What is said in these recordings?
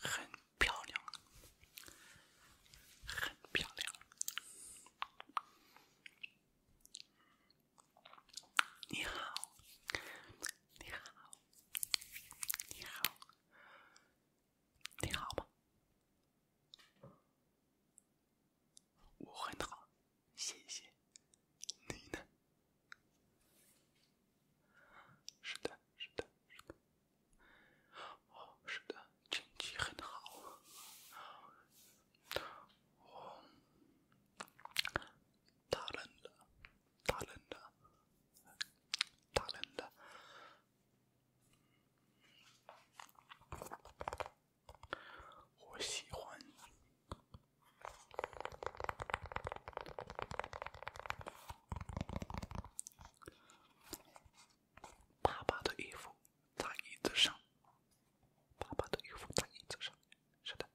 很漂亮，很漂亮。你好，你好，你好，你好吗？我很好，谢谢。你呢？是的，是的，是的。哦，是的，天气很好。哦，打人的，打人的，打人的。我喜欢。爸爸的衣服在椅子上。爸爸的衣服在椅子上。是的。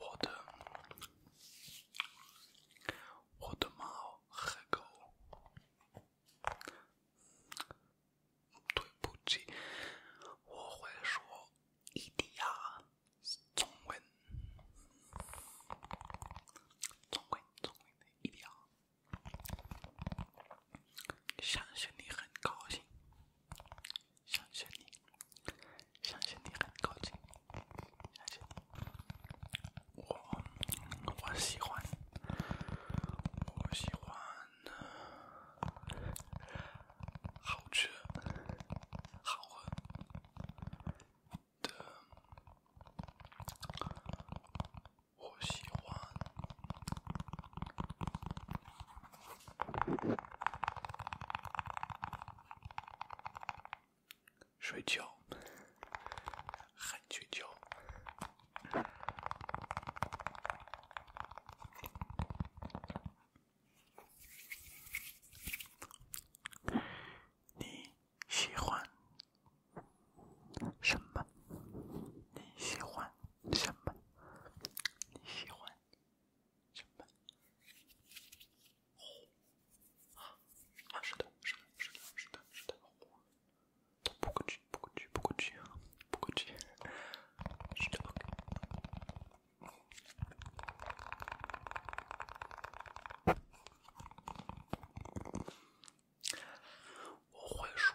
我的我的猫和狗！对不起，我会说一定要中文，中文，中文，一定要相信你很高兴。相信你，相信你很高兴。相信我，我喜欢，我喜欢好吃好闻的。我喜欢。睡觉，喊睡觉。你喜欢什么？你喜欢什么？你喜欢。上班，火啊啊！是的，是的，是的，是的，是的，火。多酷炫，多酷炫，多酷炫，多酷炫！我不会说。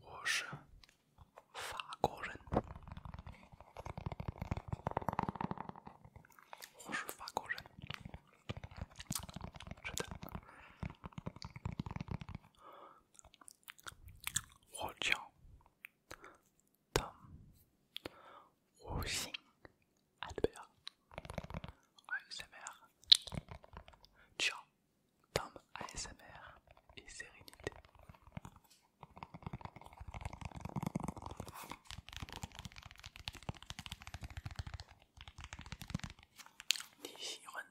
我是法国人，我是法国人，是的，我叫汤我姓。Ciao. tom ASMR et sérénité. Nichiren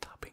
Tapping.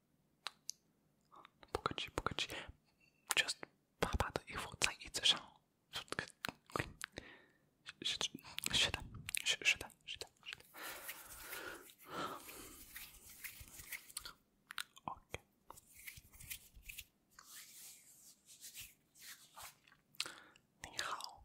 不客气，不客气。就是爸爸的衣服在椅子上，是的，是的，是的，是的，是的。你好。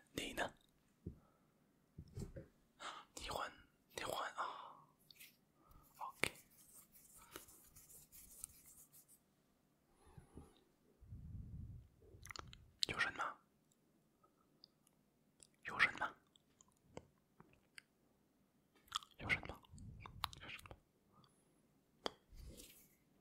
你呢？你换，你换啊！OK，有人吗？有人吗？有人吗？有人吗？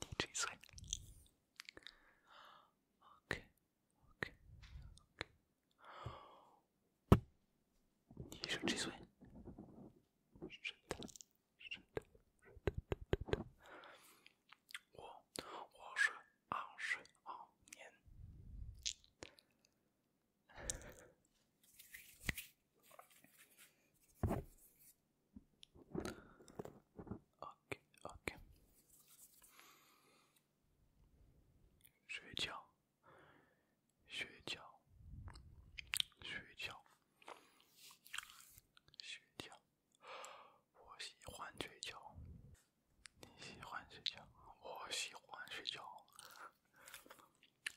你追谁？Okay，okay，okay。我，我睡，我睡，我眠。OK OK，睡觉，睡觉，睡觉，睡觉。我喜欢睡觉，你喜欢睡觉，我喜欢睡觉。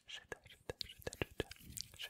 睡的，睡的，睡的，睡的。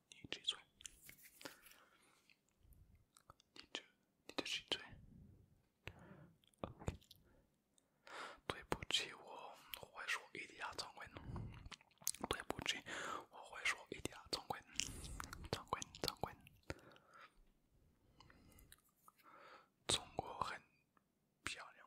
你谁最？你这、你这谁最？对不起，我会说一点中文。对不起，我会说一点中文。中文、中文，中国很漂亮。